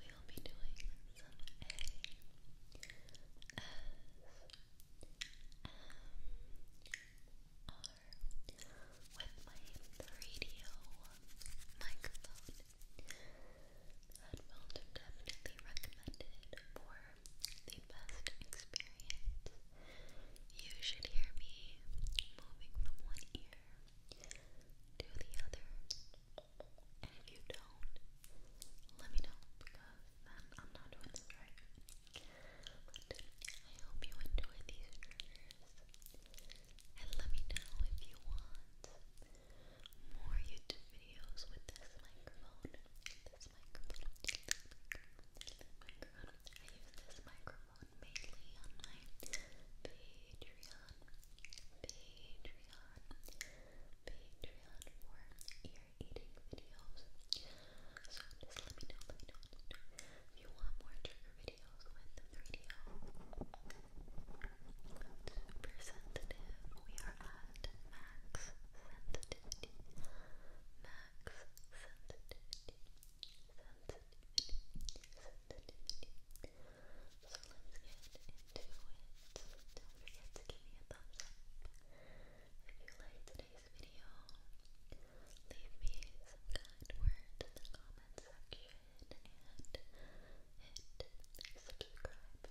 we will be doing some A S M R with my radio microphone. Headphones are definitely recommended for the best experience. You should hear me moving from one ear to the other and if you don't, let me know because then I'm not doing this right. I hope you enjoyed these triggers. And let me know if you want more YouTube videos with This microphone. This microphone. I use this microphone mainly on my Patreon. Patreon. Patreon. Patreon for ear-eating videos. So just let me know, let me know, if you want more trigger videos with the radio. Super We are at max sensitivity. Max sensitivity. Sensitivity. Sensitivity. So let's get into to it. Don't forget to give me a thumbs up if you liked today's video. Leave me some kind words in the comment section and hit subscribe.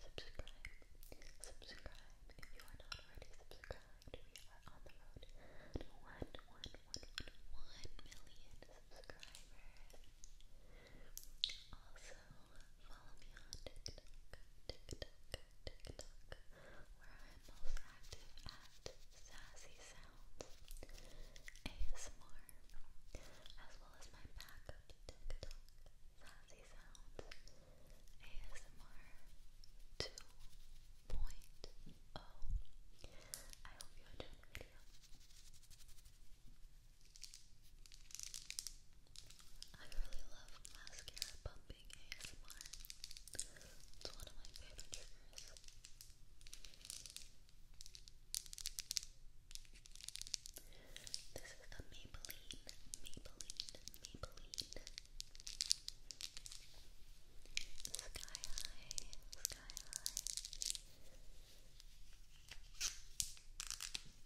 Subscribe. Subscribe. If you are not already subscribed, we are on the road to one, one, one, one, one million subscribers. Also, follow me on TikTok, TikTok, TikTok, where I'm most active at Sassy Sounds ASMR, as well as my backup TikTok, Sassy Sounds ASMR 2.0. I hope you enjoyed the video. I really love mascara pumping ASMR. It's one of my favorite triggers. This is the Maybelline, Maybelline, Maybelline. Sky high, sky high.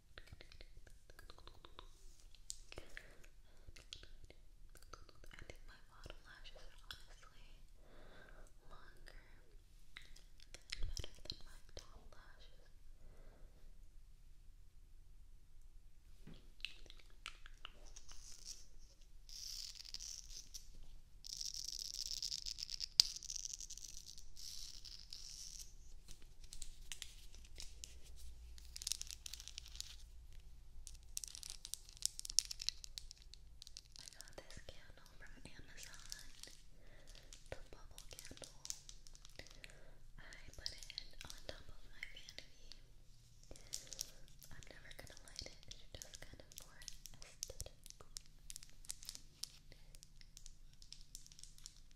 I think my bottom lashes are honestly longer and better than my top lashes. I got this candle from Amazon, the bubble candle. I put it on top of my vanity. I'm never gonna light it, it's just kind of more aesthetic.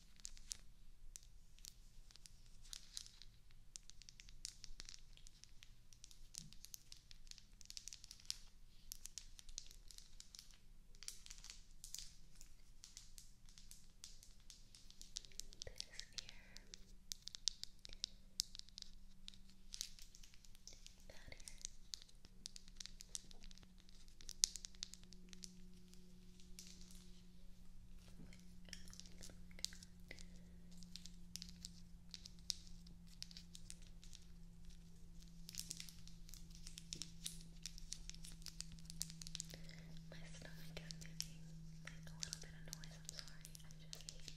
that ear my stomach is making a little bit of noise. I'm sorry. I just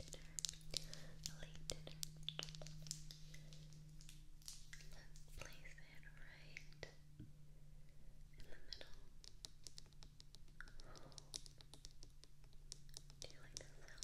ate dinner. late dinner. Please it right in the middle. Do you like that sound?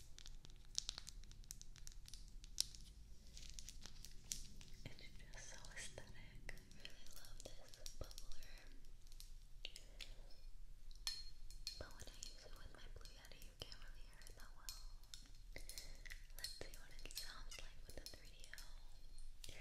It's just so aesthetic. I really love this bubbler. But when I use it with my Blue Yeti, you can't really hear it that well. Let's see what it sounds like with the 3 You ready?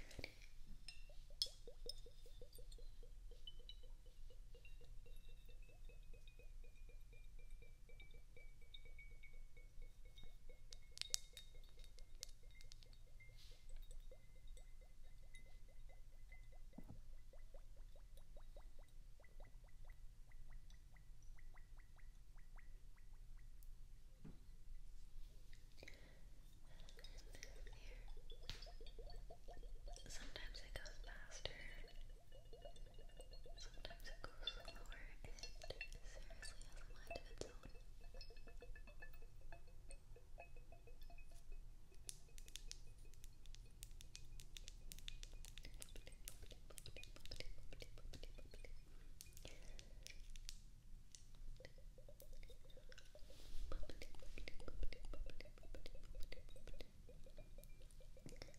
Sometimes it goes faster, Sometimes it goes slower and seriously has a mind of its own. Thank you glass, so you have to be careful with it. Good.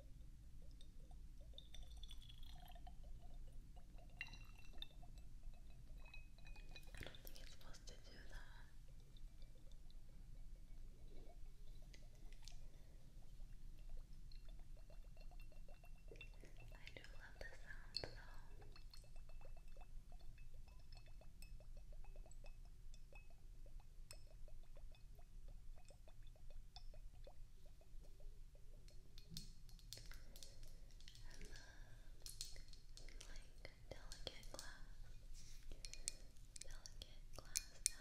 I don't think it's supposed to do that. I do love the sound though like delicate glass, delicate glass that I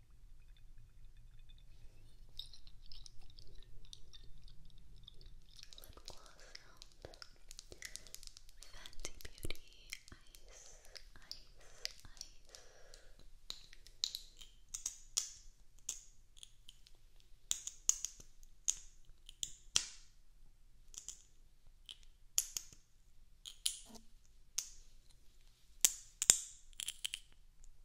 Lip gloss sound. Fancy Beauty Ice, Ice, Ice. Lip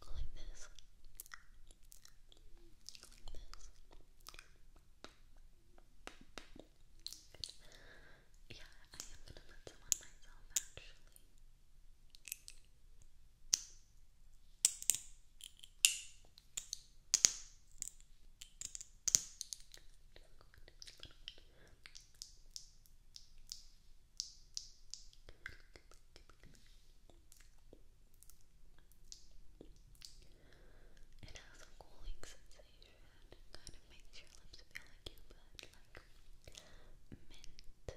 Go like this. Yeah, I am gonna put some on myself actually. It has a cooling sensation, kind of makes your lips feel like you put like mint, mint, gum, gum,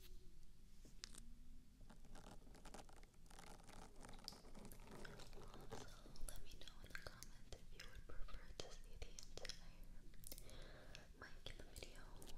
let me know in the comments if you would prefer to see the entire mic in the video. Okay,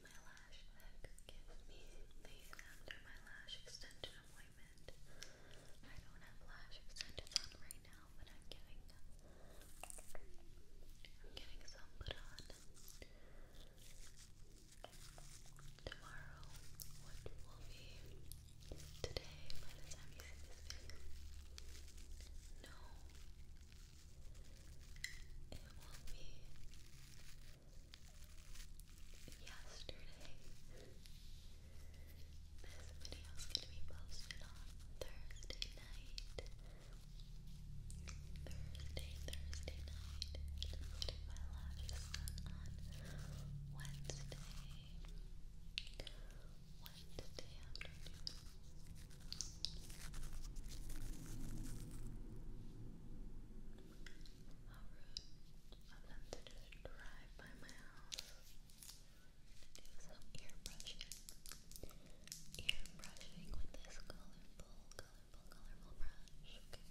My lash tech gives me after my lash extension appointment. I don't have lash extensions on right now, but I'm getting I'm getting some put on tomorrow, which will be today by the time you No it will be yesterday. This video is going to be posted on Thursday night. Thursday, Thursday night. my lashes on Wednesday. Wednesday afternoon. I'll have to just drive by my house do some ear brushing. Ear brushing with this colorful, colorful, colorful brush. Okay.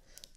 gold,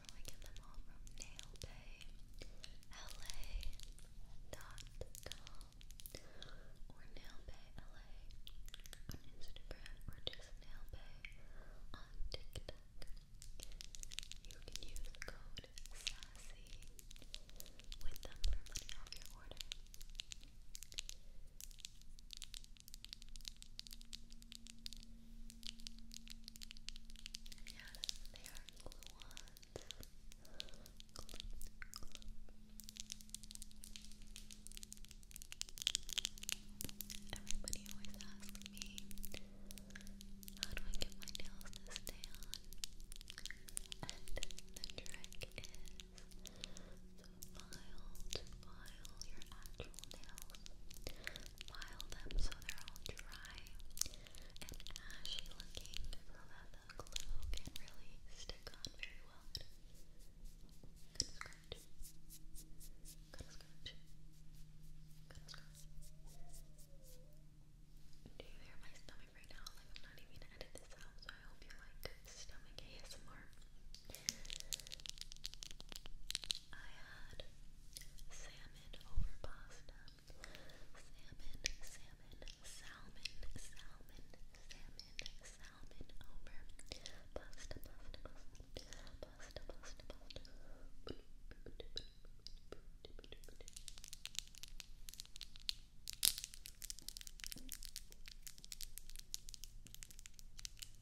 where we get them all from nailbayla.com or nailbayla on Instagram or just nailbay on TikTok. You can use code SASSY with them for money off your order they are glue ones. Everybody always asks me, how do I get my nails to stay on? And the trick is to file, file your nails, file them so they're all dry and ashy looking so that the glue can really stick on very well. Do you hear my stomach right now? Like I'm not even going this out, so I hope you like stomach ASMR. I had salmon over pasta. Salmon, salmon, salmon, salmon, salmon, salmon over pasta, pasta, pasta, pasta, pasta, pasta.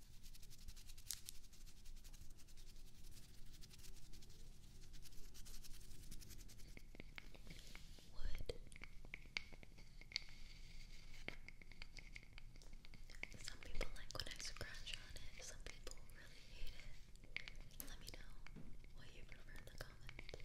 Some people like when I scratch on it, some people really hate it. Let me know what you prefer in the comments.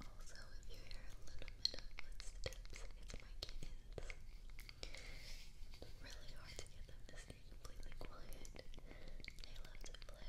Also, if you hear a little bit of footsteps, it's my kittens. really hard to get them to stay completely quiet. They love to play.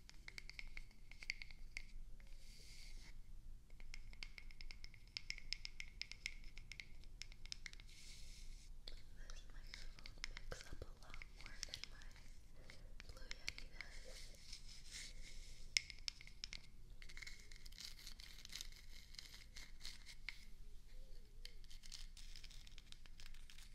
microphone picks up a lot more than my Blue Yeti does. Thank you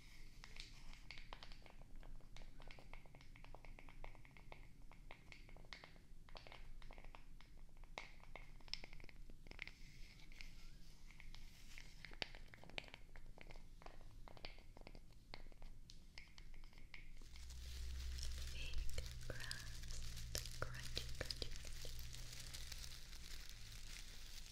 Fake grass, crunchy, crunchy, crunchy.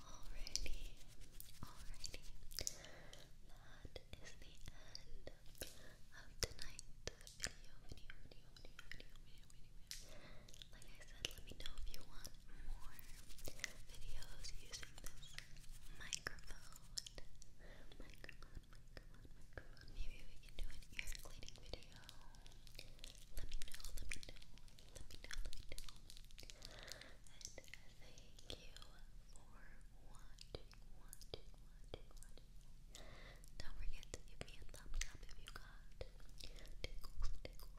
Alrighty, alrighty. That is the end of tonight's video, video, video, video, video, video, video. Like I said, let me know if you want more videos using this microphone. Microphone, microphone, microphone. Maybe we can do an ear cleaning video. Let me know, let me know, let me know, let me know. And thank you for watching, Don't forget to give me a thumbs up if you got Leave me some comments, leave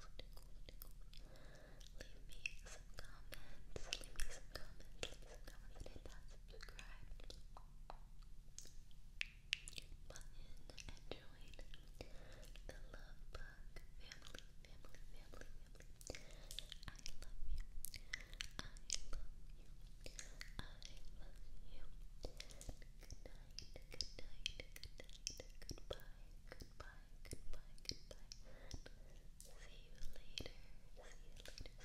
me some comments, leave me some comments and subscribe button and join the Love Bug family, family, family, family. I love you. I love you. I love you. Good night, good night, good night, goodbye, goodbye, goodbye, goodbye. See you later. See you later. See you later.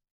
Bye.